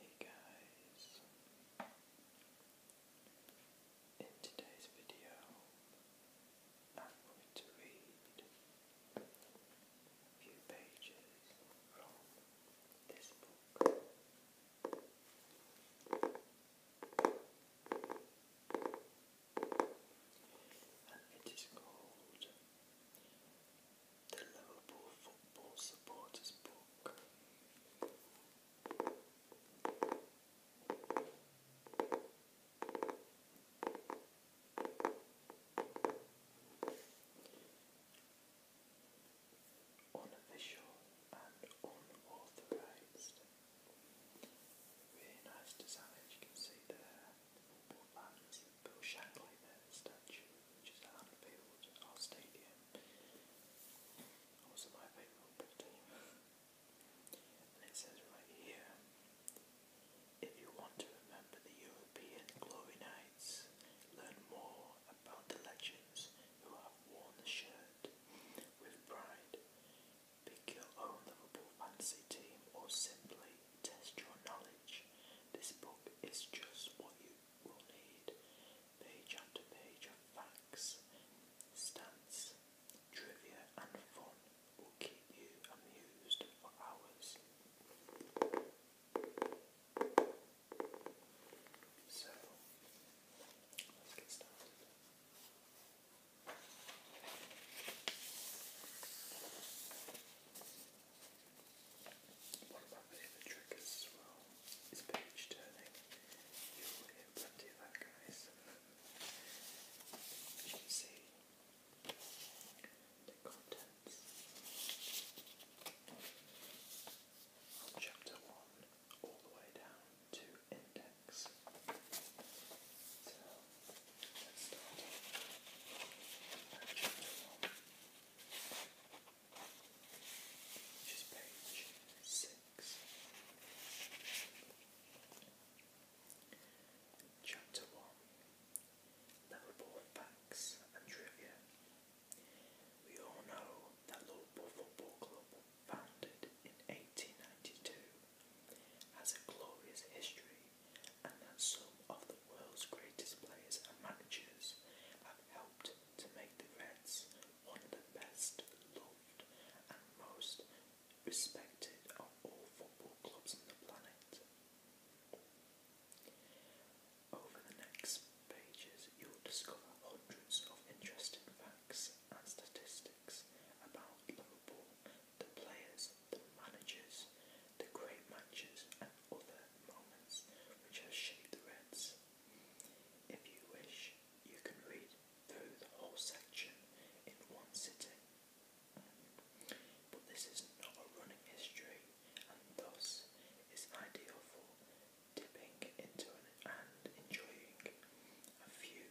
Hey guys! In today's video, I'm going to read a few pages from this book. And it is called the Liverpool Football Supporters Book. Unofficial and unauthorised. Really nice design, you can see there. Bill Shankly, their statue, which is our stadium. Also my favourite football team. and it says right here, if you want to remember the European glory nights, learn more about the legends who have worn the shirt with pride. Pick your own Liverpool fantasy team or simply test your knowledge page. This book is just what you will need. Page after page of facts, stats, trivia, and fun will keep you amused for hours. So, let's get started. One of my favourite triggers as well is page turning. You'll hear plenty of that, guys. you can see, the contents chapter 1 all the way down to index. Chapter one Level Facts and Trivia. We all know that Liverpool Football Club, founded in 1892, has a glorious history and that some of the world's greatest players and managers have helped to make the Reds one of the best loved and most respected of all football clubs on the planet. Over the next pages, you'll discover hundreds of interesting facts and statistics about Liverpool, the players, the managers, the great matches, and other moments which have shaped the Reds. If you wish, you can read through the whole section in one sitting. But this is not a running history, and thus is ideal for dipping into and enjoying a few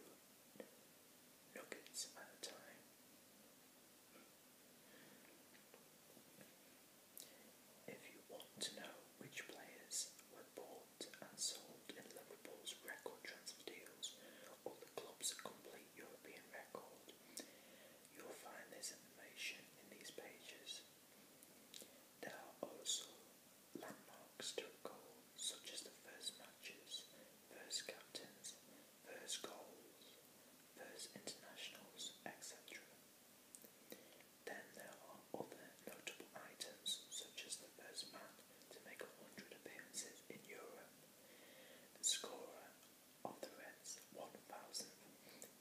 nuggets at a time. If you want to know which players were bought and sold in Liverpool's record transfer deals or the club's complete European record, you'll find this information in these pages. There are also landmarks to recall, such as the first matches versus captains, versus goals, versus internationals, etc. Then there are other notable items, such as the first man to make 100 appearances in Europe, scorer of the Reds' 1000th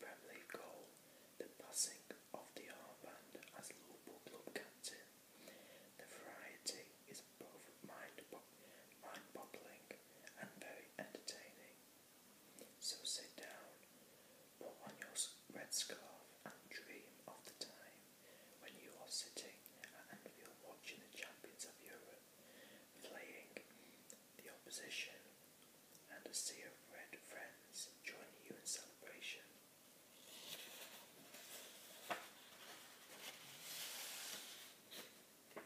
Premier League goal, the passing of the armband as local club captain. The variety is both mind, boggling and very entertaining. So sit down, put on your red scarf, and dream of the time when you are sitting and you're watching the champions of Europe playing the opposition, and a sea of red friends joining you in celebration. And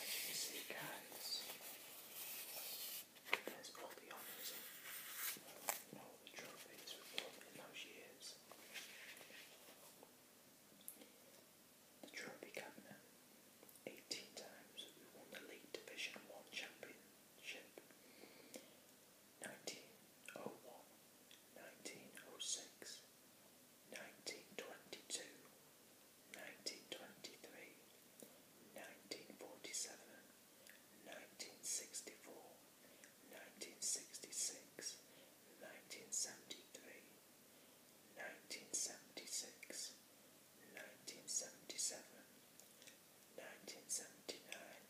as you see guys, there's all the honours all the trophies we've won in those years. The trophy cabinet, 18 times we won the League Division 1 Championship, 1901, 1906, 1922, 1923, 1947, 1964, 1966, 1973, 1976, 1977, 1979,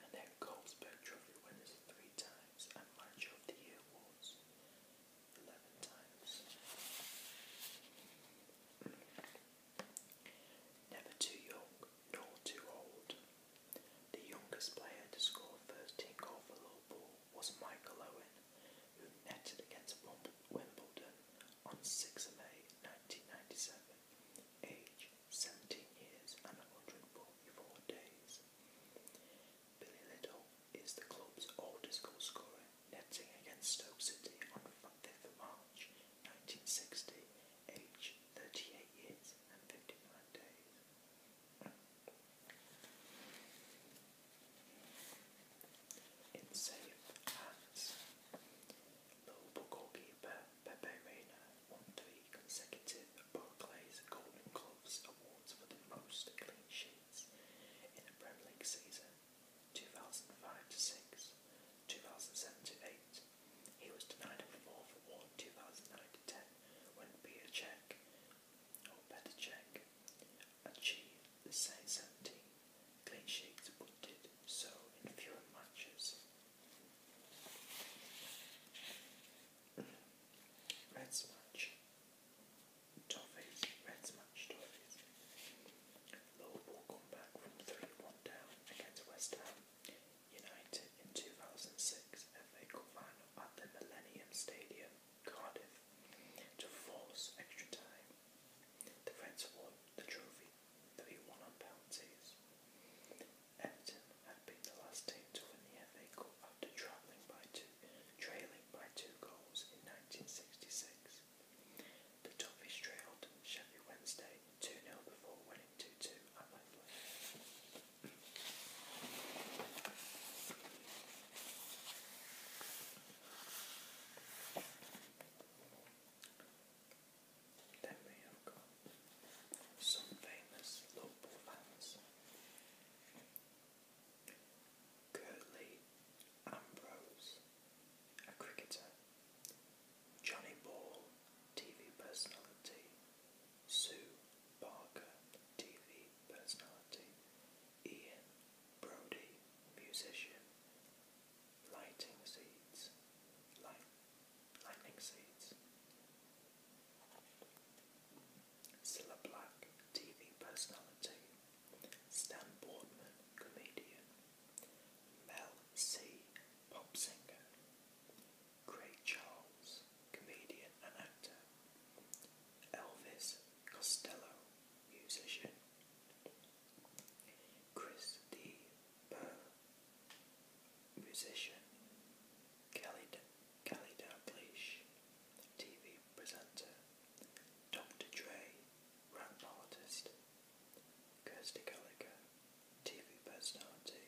and then Goldsberg Trophy winners three times and Manager of the Year awards eleven times. Never too young nor too old. The youngest player to score first in goal for Liverpool was Michael Owen, who netted against Wimbledon on 6 May 1997, age seventeen years and a hundred and forty-four days. Billy Little is the club's oldest goal scorer, netting against Stoke City on 5th March 1960, Age 38 years and 59 days. In safe hands, Liverpool goalkeeper Pepe Reina won three consecutive the Golden Gloves Awards for the most clean sheets in a Premier League season 2005 to 6, 2007 to 8. He was denied a fourth award, one 2009 to 10 when Peter Check, or Peter Check, achieved the same 17 clean sheets but did so in fewer matches. Red smudge. Toffees. Red smudge toffees. Liverpool come back from 3-1 down against West Ham United in 2006 FA Cup final at the Millennium Stadium, Cardiff, to force extra time. The Reds won the trophy 3-1 on penalties. Everton had been the last team to win the FA Cup after travelling by two, trailing by two goals in 1966. The Toffees trailed Sheffield Wednesday 2-0 before winning 2-2 at Wembley. They may have got some famous local fans. Curtly Ambrose, a cricketer. Johnny Ball, TV personality. Sue Barker, TV personality. Ian Brody, musician. Lighting seeds. lightning seeds. Cilla Black, TV personality. Stan Boardman, comedian. Mel C, pop singer. Craig Charles, comedian and actor. Elvis Costello, musician. Chris D musician, Kelly Dalglish, TV presenter, Dr. Dre, rap artist, Kirsty Gallagher, TV personality.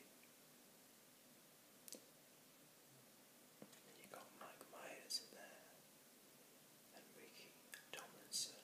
you got Mike Myers there, and Ricky Tomlinson,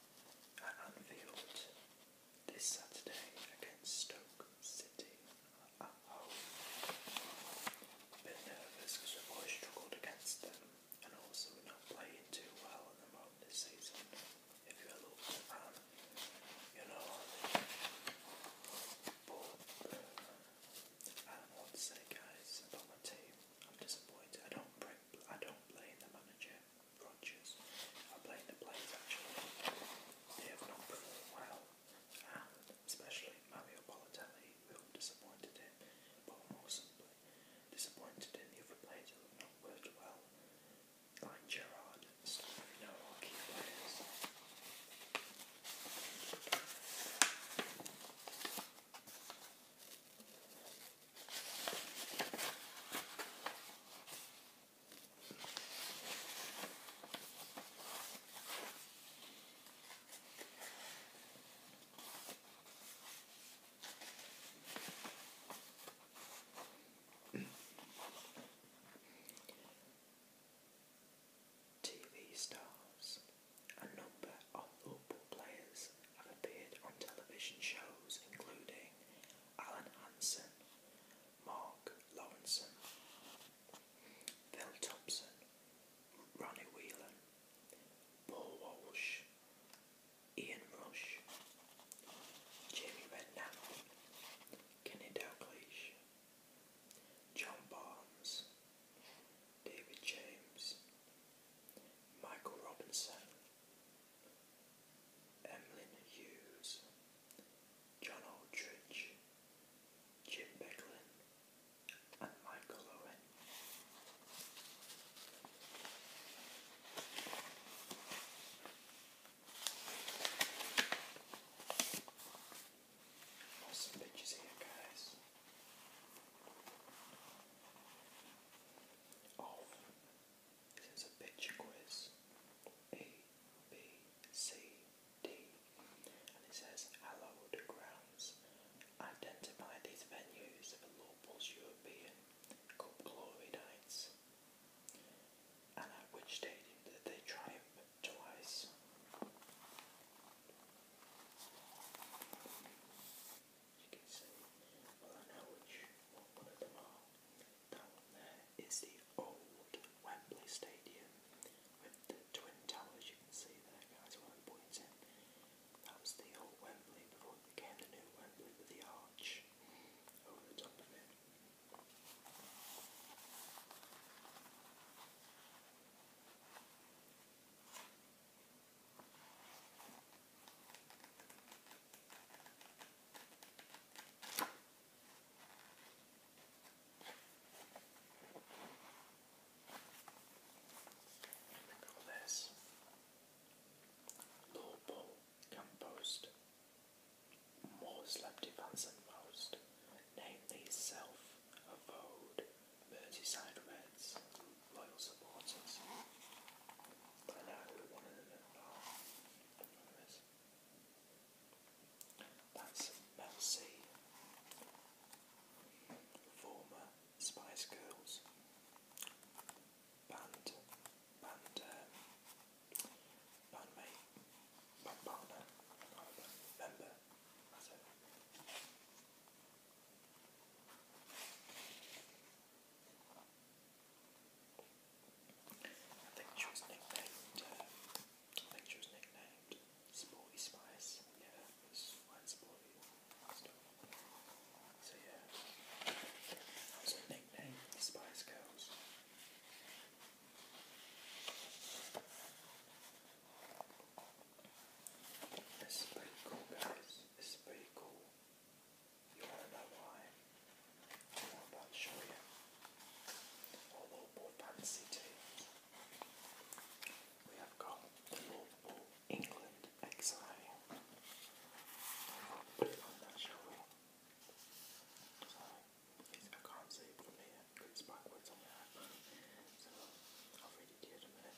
at Anfield this Saturday against Stoke City A bit nervous because we've always struggled against them and also we're not playing too well at the moment this season. If you're a Liverpool fan, you know uh, I don't know what to say guys about my team. I'm disappointed. I don't bring I don't blame the manager, Rodgers. I blame the players actually. They have not performed well, and especially Mario Balotelli, who disappointed him, but more simply, disappointed in the other players who have not worked well, like Gerard and stuff, you key players. TV stars. A number of football players have appeared on television shows including Alan Hansen, Mark Lawrenson, Phil Thompson, Ronnie Whelan, Paul Walsh, Ian Rush, Jamie Redknapp, Kenny Dalglish, John Barnes, David James, Michael Robinson, Emlyn Hughes, John Aldrich, Jim Becklin, and Michael Owen. There's some pictures here, guys. This is a picture quiz. A, B, C, D. And it says, Hello, grounds. Identify these venues for Lawpools European Cup glory nights. And at which stadium did they triumph twice? you can see. Well, I know which one of them are. That one there is the old Wembley Stadium with the twin towers. You can see there, guys, where pointing. That was the old Wembley before it became the new Wembley with the arch over the top of it. And we call this lawful compost. More selective and most, namely self avowed Merseyside Reds loyal supporters. I know one of them That's Mel C, former Spice Girls band, band, uh, bandmate, band partner, remember. I think she was nicknamed, uh, I think she was nicknamed Sporty Spice, yeah, because mine's So yeah, that was Spice Girls. It's is pretty cool, guys. It's is pretty cool. You want to know why? I'm show you. We have got the Lord England exile. Put it on that, shall So, I can't see it here because it's backwards on the So, I'll read it to you in a minute.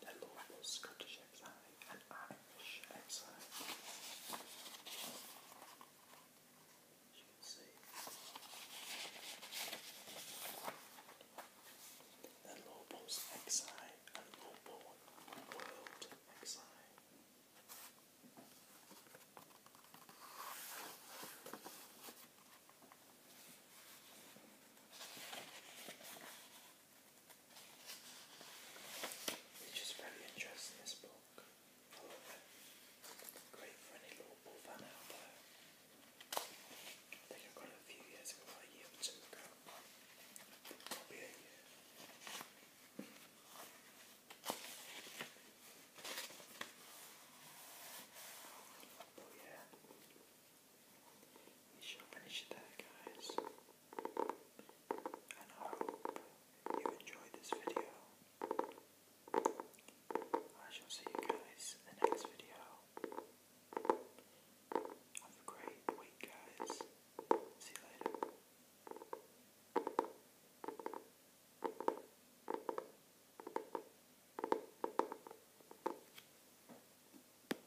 the local Scottish exile and Irish exile. As you can see, the Lobos exile and Lobo world exile. Which is very interesting, this book. I love it. Great for any lawful fan out there. I think I got a few years ago, a year or two ago. Probably a year. But yeah, we shall finish there, guys. And I hope you enjoyed this video. I shall see you guys in the next video. Have a great week, guys. See you later.